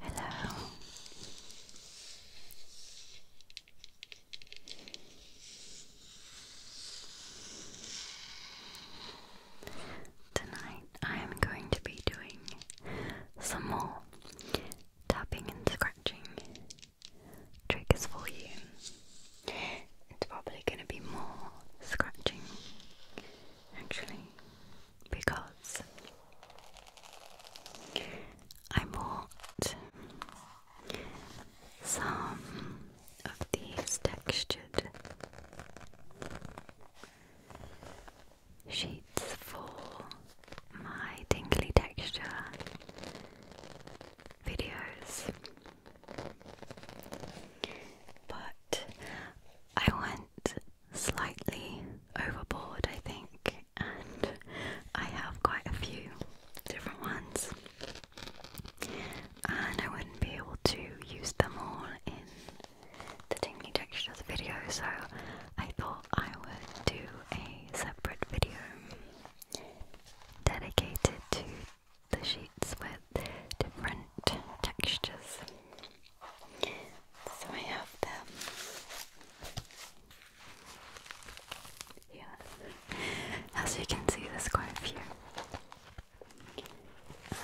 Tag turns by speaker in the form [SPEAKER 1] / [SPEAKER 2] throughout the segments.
[SPEAKER 1] Hello. Tonight I am going to be doing some more tapping and scratching triggers for you. It's probably going to be more scratching actually because I bought some of these textured sheets for my tingly texture videos. But I went slightly overboard, I think, and I have quite a few different ones, and I wouldn't be able to use them all in the Tingly Textures video, so I thought I would do a separate video dedicated to the sheets with different textures. So I have them here. As you can see, there's quite a few. Um,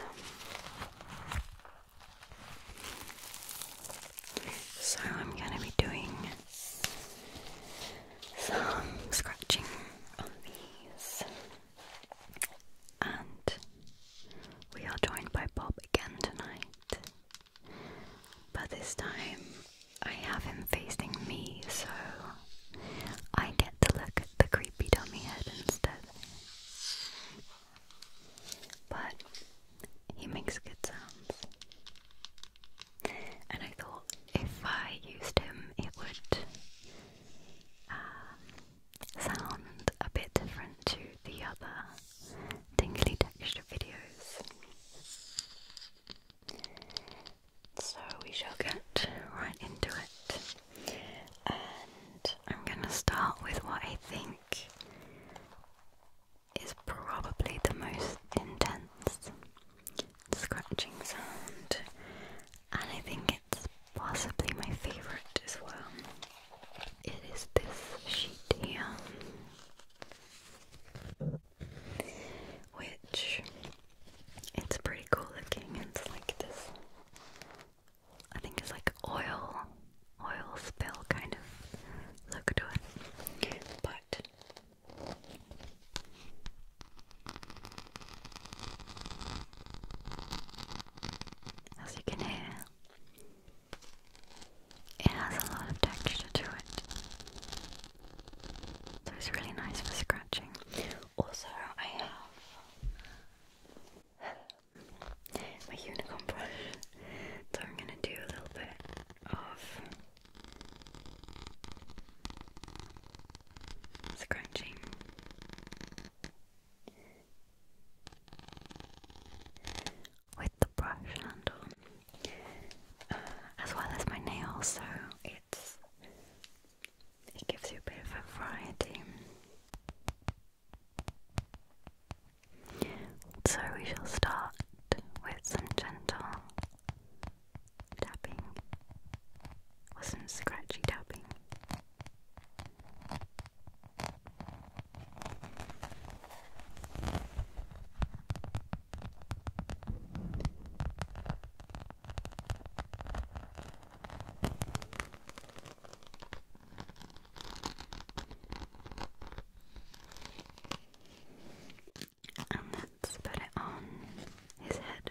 [SPEAKER 1] so I'm going to be doing some scratching on these. And we are joined by Bob again tonight. But this time I have him facing me, so I get to look at the creepy dummy head instead. But he makes good sounds and I thought if I used him, it would uh, sound a bit different to the other tingly texture videos. So we shall get right into it, and I'm gonna start with what I think is probably the most intense scratching sound, and I think it's possibly my favourite as well. It is this sheet here, which it's pretty cool looking. It's like this. I think it's like oil, oil spill kind of look to it, but as you can hear, it has a lot of texture to it. So it's really nice for scratching. Also, I have my unicorn brush, so I'm gonna do a little bit of scratching. With the brush handle, uh, as well as my nails, so it's it gives you a bit of a variety. So we shall start with some gentle tapping wasn't scratchy tapping let's put it on his head.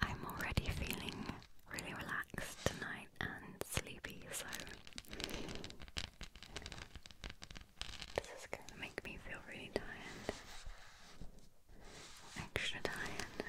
[SPEAKER 1] I'm already feeling really relaxed tonight and sleepy, so this is going to make me feel really tired. Extra tired.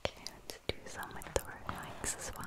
[SPEAKER 1] Okay, let's do some with the red as well.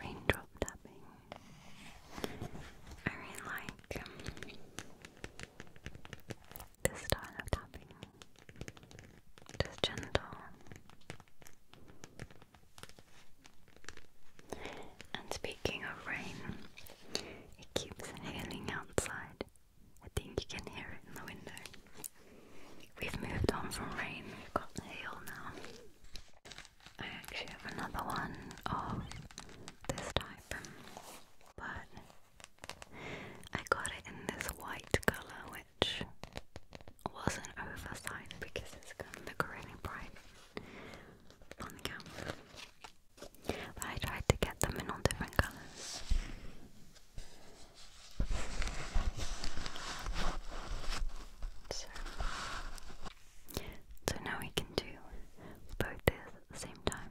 [SPEAKER 1] Raindrop tapping. I really like um, this style of tapping. Just gentle. And speaking of rain, it keeps hailing outside. I think you can hear it in the window. We've moved on from rain, we've got hail now. I actually have another one of this type, but I got it in this white colour, which was an oversight because it's going to really bright on the camera. But I tried to get them in all different colours. So, so now we can do both this at the same time.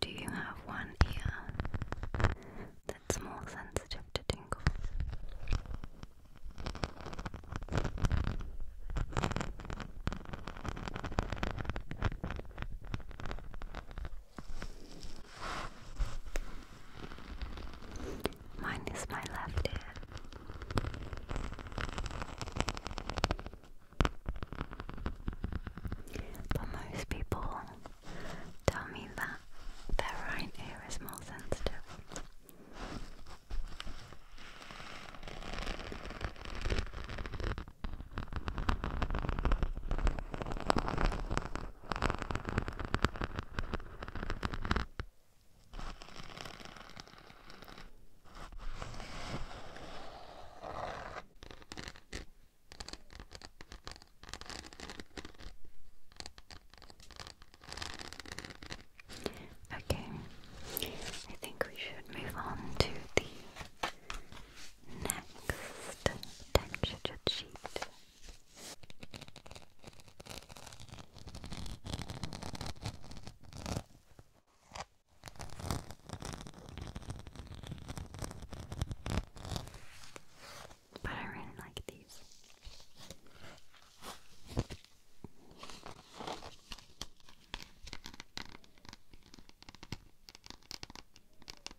[SPEAKER 1] Do you have one ear that's more sensitive to tingles? Mine is my left ear. But most people tell me that their right ear is more sensitive. Okay, I think we should move on to the Next texture sheet. But I really like these.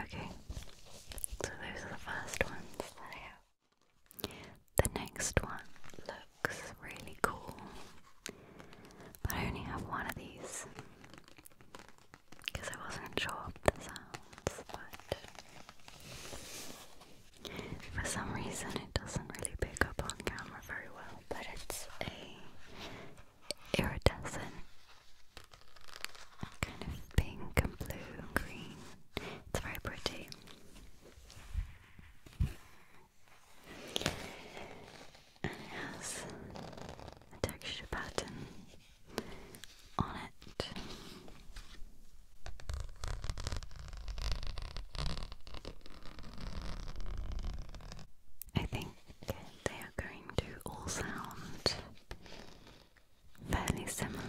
[SPEAKER 1] Okay, so those are the first ones that I have. The next one looks really cool, but I only have one of these because I wasn't sure of the sounds, but for some reason it doesn't really pick up on camera very well. But it's a iridescent kind of pink and blue green. It's very pretty. And it has a texture pattern on it. I think they are going to all sound fairly similar.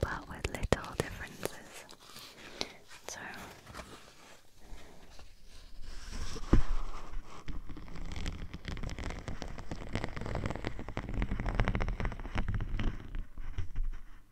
[SPEAKER 1] But with little differences. So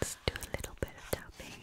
[SPEAKER 1] Let's do a little bit of tapping.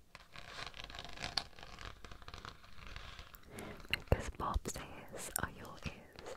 [SPEAKER 1] Because Bob's ears are your ears.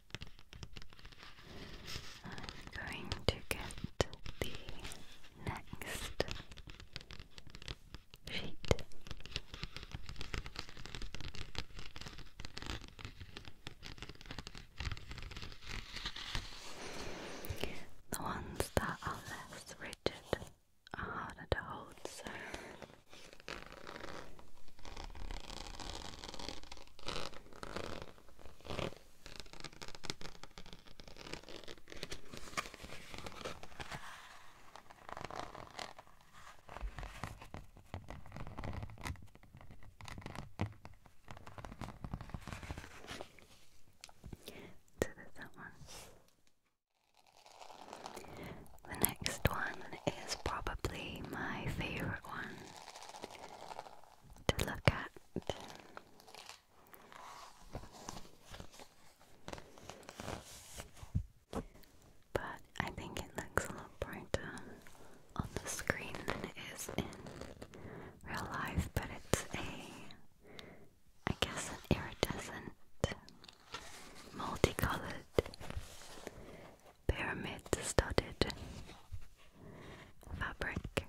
[SPEAKER 1] I'm going to get the next sheet. The ones that are less rigid are harder to hold, so. The next one is probably my favorite one to look at. But I think it looks a lot brighter on the screen than it is in real life, but it's a, I guess, an iridescent, multicolored pyramid-studded fabric.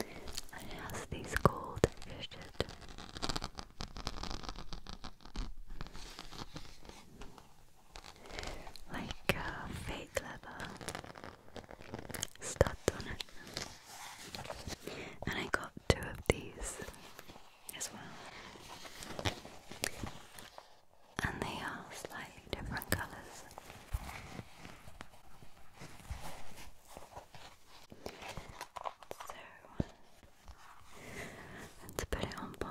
[SPEAKER 1] it has these cool textured like uh, fake leather studs and I got two of these as well. And they are slightly different colours. So let's put it on Bob.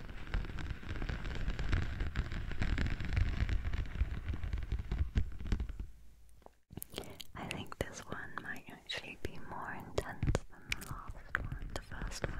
[SPEAKER 1] I think this one might actually be more intense than the last one, the first one.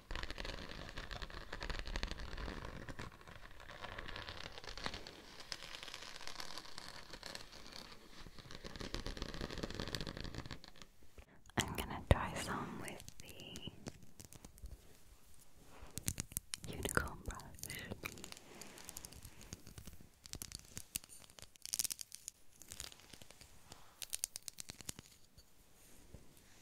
[SPEAKER 1] I'm gonna try some with the unicorn brush.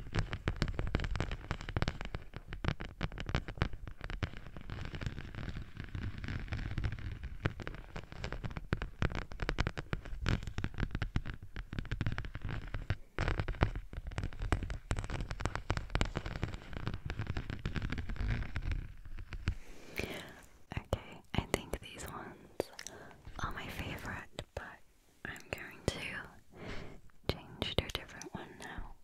[SPEAKER 1] Okay, I think these ones are my favorite, but I'm going to change to a different one now.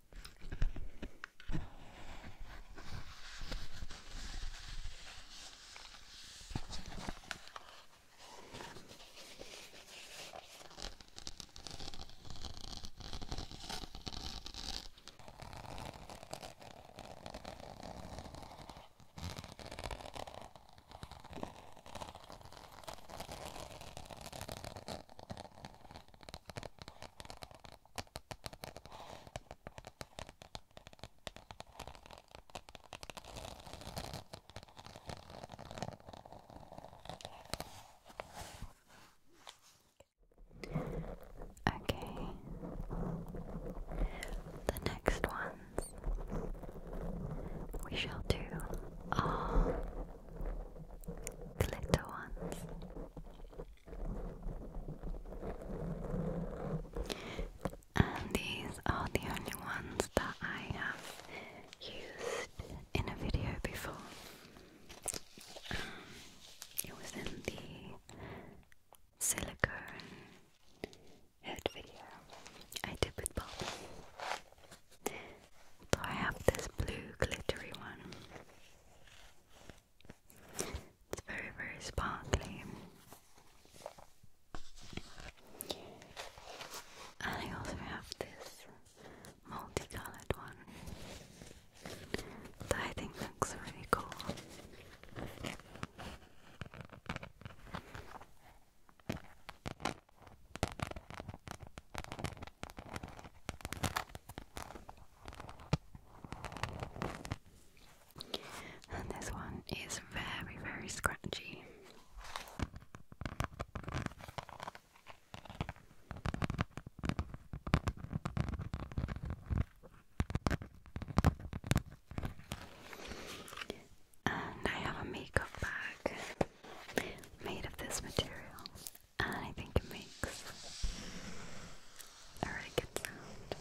[SPEAKER 1] Okay. The next ones we shall do are glitter ones. And these are the only ones that I have used in a video before. Um, it was in the silicone head video I did with Bob. So I have this blue glittery one. It's very, very sparkly. And I also have this multicolored one that I think looks really cool. And this one is very, very scratchy. And I have a makeup bag made of this material. And I think it makes a really good sound.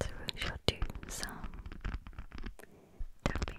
[SPEAKER 1] So we shall do some tapping.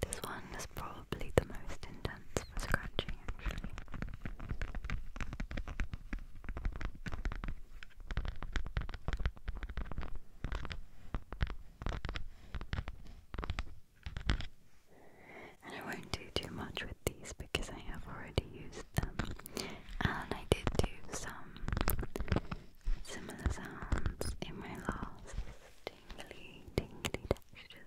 [SPEAKER 1] This one is probably the most intense for scratching, actually. And I won't do too much with these because I have already used them. And I did do some similar sounds in my last tingly, tingly textures.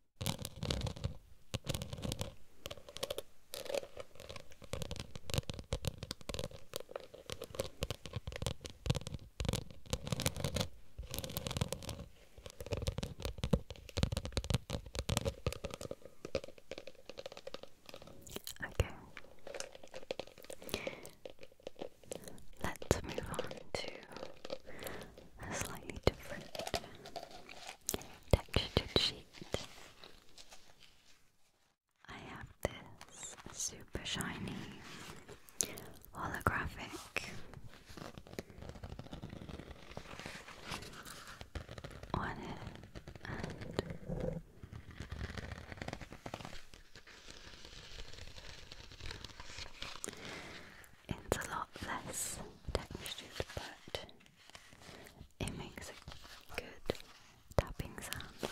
[SPEAKER 1] Okay. Let's move on to a slightly different textured sheet. I have this super shiny holographic on and it's a lot less textured but it makes a good tapping sound.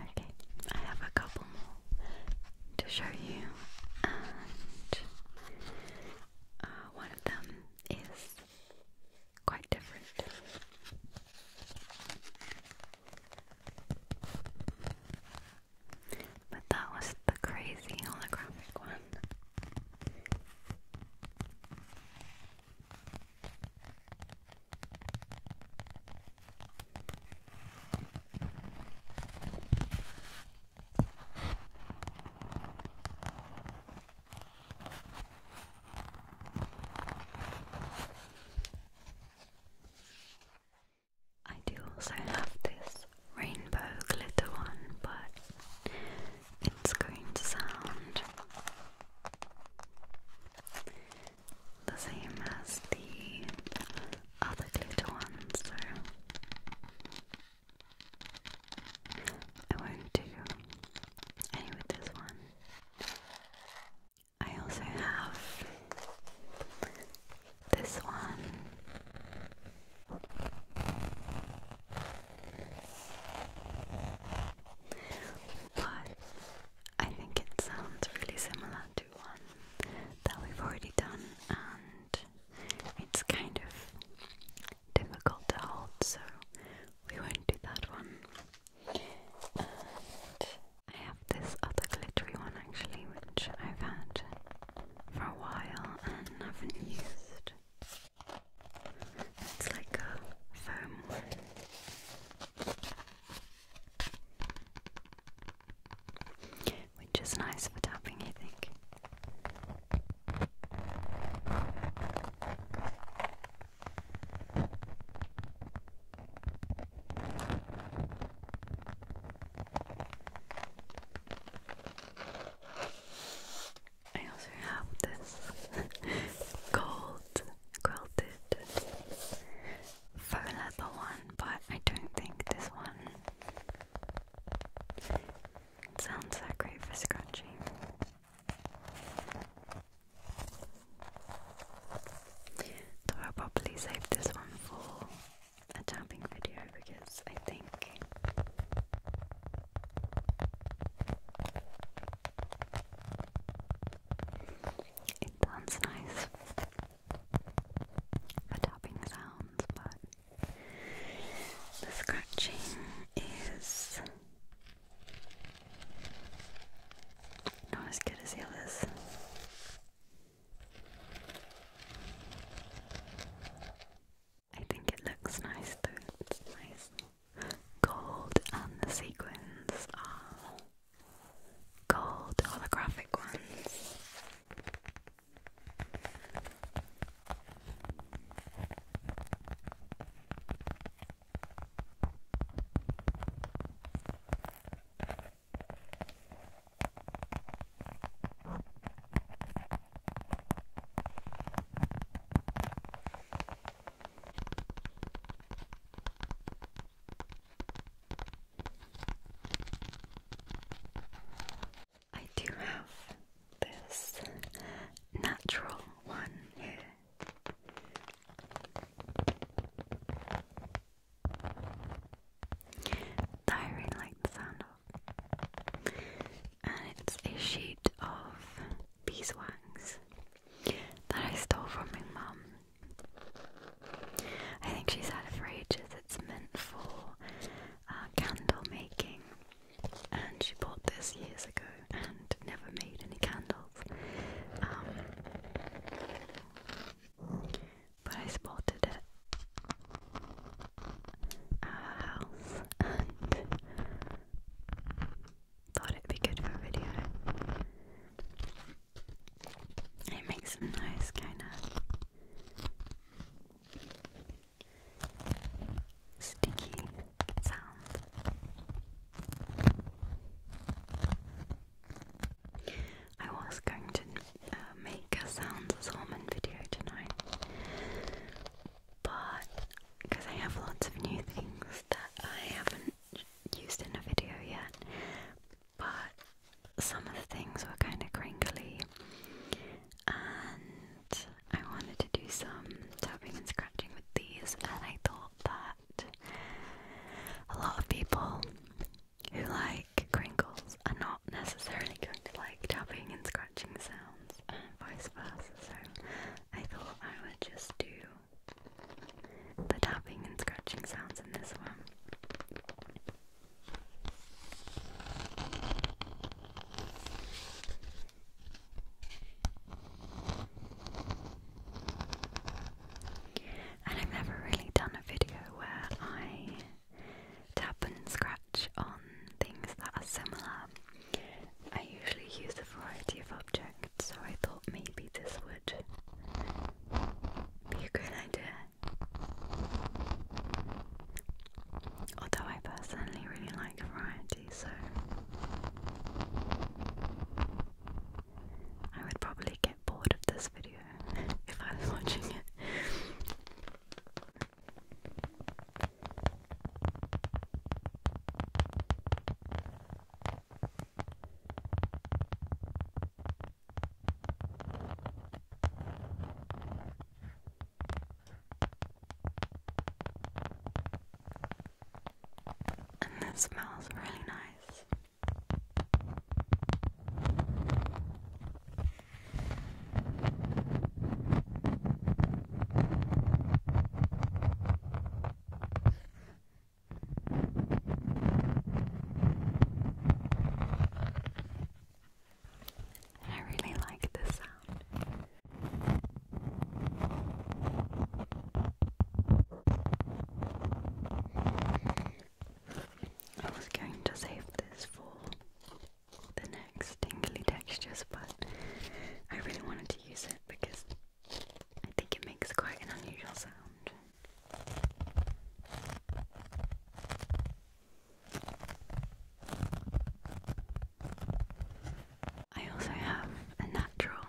[SPEAKER 1] Okay, I have a couple more to show you, and uh, one of them is quite different. But that was the crazy holographic one. I do also have this rainbow glitter one, but it's going to sound the same as the other glitter ones, so I won't do any with this one. I also have this one but I think it sounds really similar to one that we've already done, and it's kind of difficult to hold, so we won't do that one. And I have this other glittery one actually, which I've had for a while and haven't used. It's like a foam Which is nice for tapping, I think. I also have this gold quilted faux leather one, but I don't think this one sounds that great for scratching. So I'll probably save this one for a tapping video because I think it sounds nice for tapping sounds, but the scratching is not as good as the I think it looks nice though, it's nice gold and the sequins are gold holographic ones I do have this natural one here. I really like the and it's a sheet of beeswax that I stole from my mum. I think she's had it for ages. It's meant for uh, candle making, and she bought this years ago and never made any candles. Um, but I spotted it at her house, and Thought it'd be good for a video. It makes some noise, kinda. Sticky sound. I was going to uh, make a sounds as woman video tonight, but because I have lots of new things that I haven't used in a video yet, but some of the things were kind of crinkly, and I wanted to do some tapping and scratching with these, and I thought that a lot of people who like crinkles are not necessarily going to like tapping and scratching sounds vice versa so I thought I would just do the tapping and scratching sounds in this one. And I've never really done a video where I tap and scratch on things that are similar. I usually use a variety of objects, so I thought maybe this would be a good idea. Although I personally really like variety, so I would probably get bored of this video if I was watching it. And this smells really nice. I really like this sound. I was going to save this for the next tingly textures, but I really wanted use it because I think it makes quite an unusual sound. I also have a natural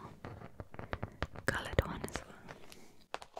[SPEAKER 1] coloured one as well.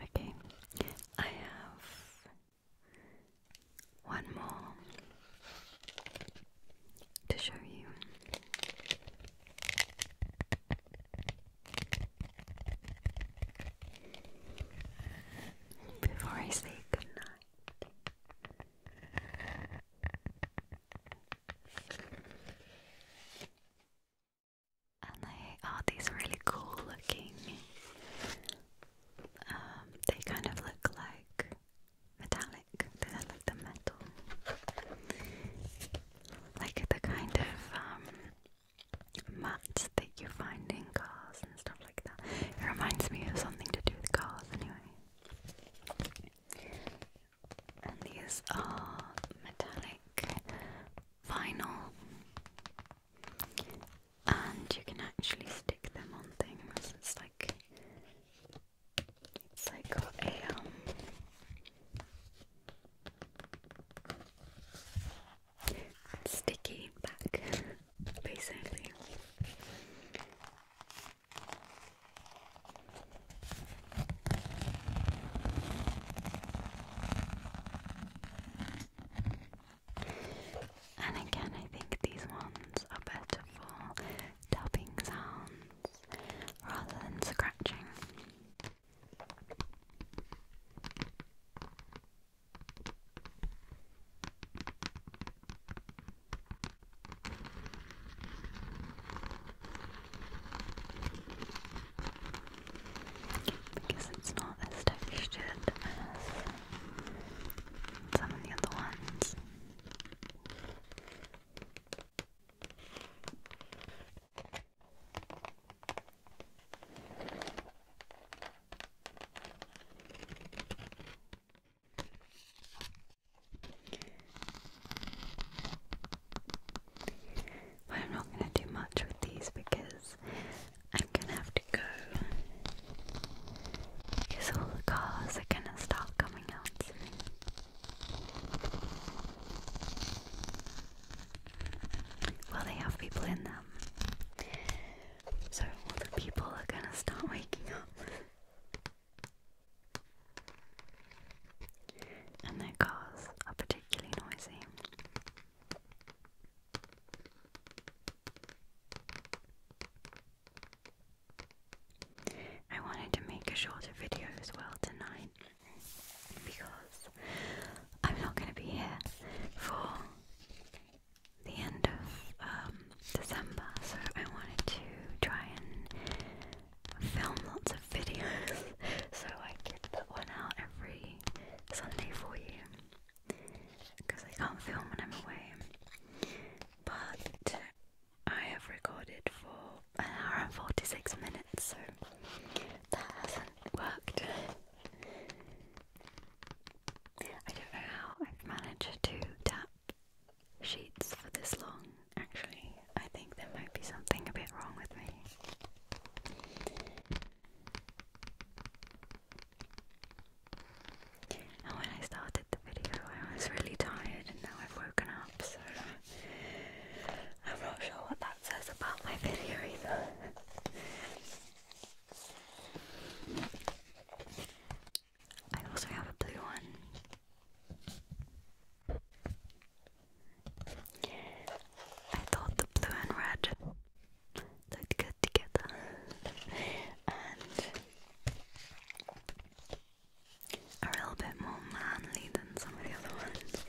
[SPEAKER 1] Okay, I have one more to show you. Before I say goodnight, and they are these really cool looking. Um, they kind of look like metallic metallic. They the metal, like the kind of um, mats that you find in cars and stuff like that. It reminds me of something to do with cars, anyway. And these are metallic vinyl, and you can actually stick them on things. It's like it's like a um sticky back, basically. And again, I think these ones are better for tapping sounds rather than scratching. Because it's not as textured as some of the other ones. I'm not going to do much with these because I'm going to have to go because all the cars are going to start coming out soon. Well, they have people in them. So the people are gonna start waking up. and their cars particularly noisy. I wanted to make a shorter video as well tonight because I'm not going to be here for the end of um, December, so I wanted to try and film lots of videos so I could put one out every Sunday for you because I can't film when I'm away. But I have recorded for an hour and 46 minutes, so that hasn't worked. I don't know how I've managed to tap sheets for this long, actually. I think there might be something a bit wrong with me. when I started the video, I was really tired, and now I've woken up. I'm not sure what that says about my video either. I also have a blue one. I thought the blue and red looked good together, a little bit more manly than some of the other ones.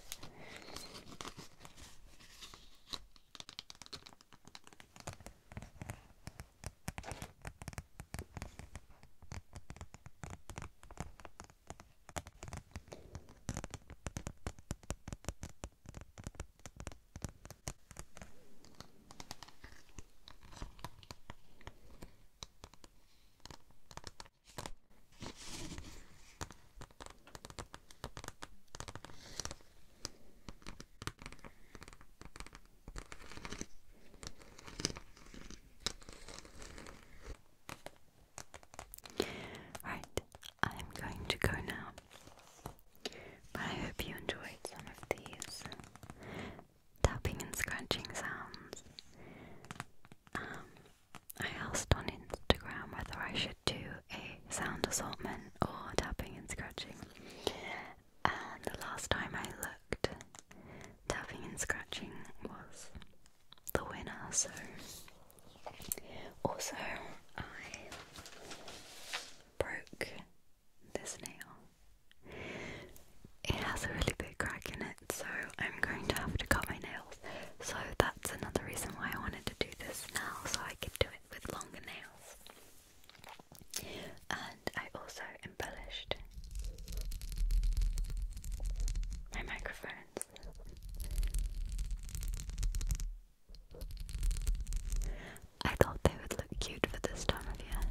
[SPEAKER 1] Right, I'm going to go now. But I hope you enjoyed some of these tapping and scratching sounds. Um, I asked on Instagram whether I should do a sound assortment or tapping and scratching. And the last time I looked, tapping and scratching was the winner, so also I broke this nail. It has a really big crack in it, so I'm going to have to cut my nails. So that's another reason why I wanted to do this now, so I could do it with longer nails. And I also embellished my microphones. I thought they would look cute for this time of year,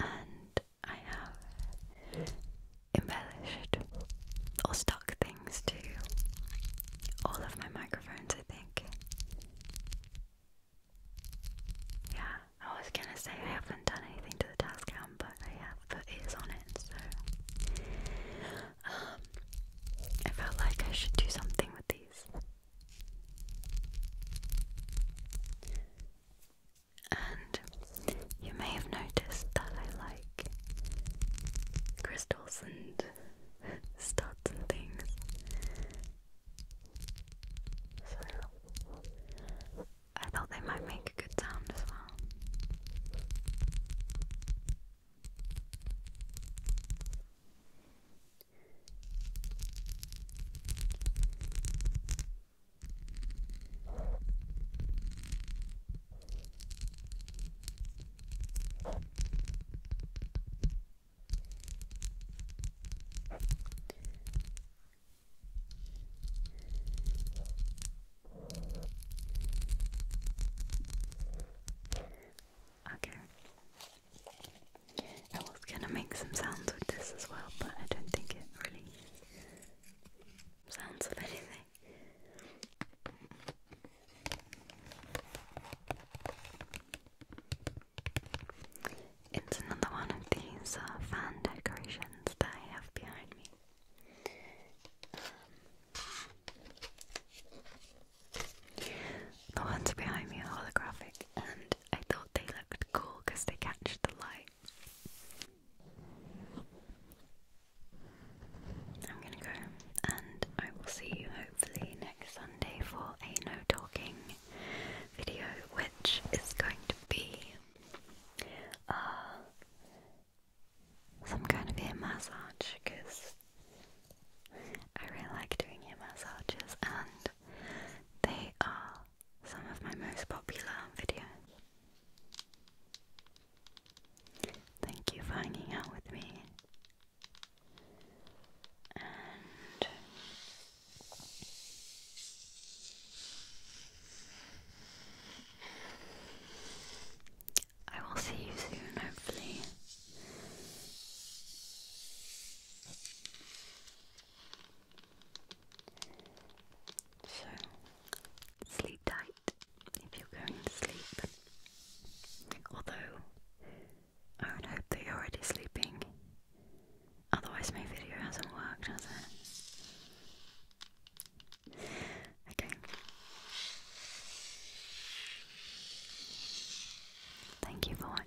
[SPEAKER 1] and I have embellished or stuck things to all of my microphones, I think. Yeah, I was gonna say I haven't done anything to the task cam, but I have put ears on it, so um, I felt like I should do something with these and you may have noticed that I like crystals and studs and things. So I thought they might make a good sound as well. Okay. I was gonna make some sounds with this as well, but I don't think it really sounds of anything. It's another one of these uh, fan decorations that I have behind me. the ones behind me are holographic, and I thought they looked cool because they catch the light. I'm gonna go, and I will see you hopefully next Sunday for a no talking video, which is going to be uh, some kind of ear massage because I really like doing ear massages and they are some of my most popular videos. Thank you for hanging out with me. And I will see you soon, hopefully. So, sleep tight if you're going to sleep. Although, I would hope that you're already sleeping. Otherwise, my video hasn't worked, has it? Okay. Thank you for watching.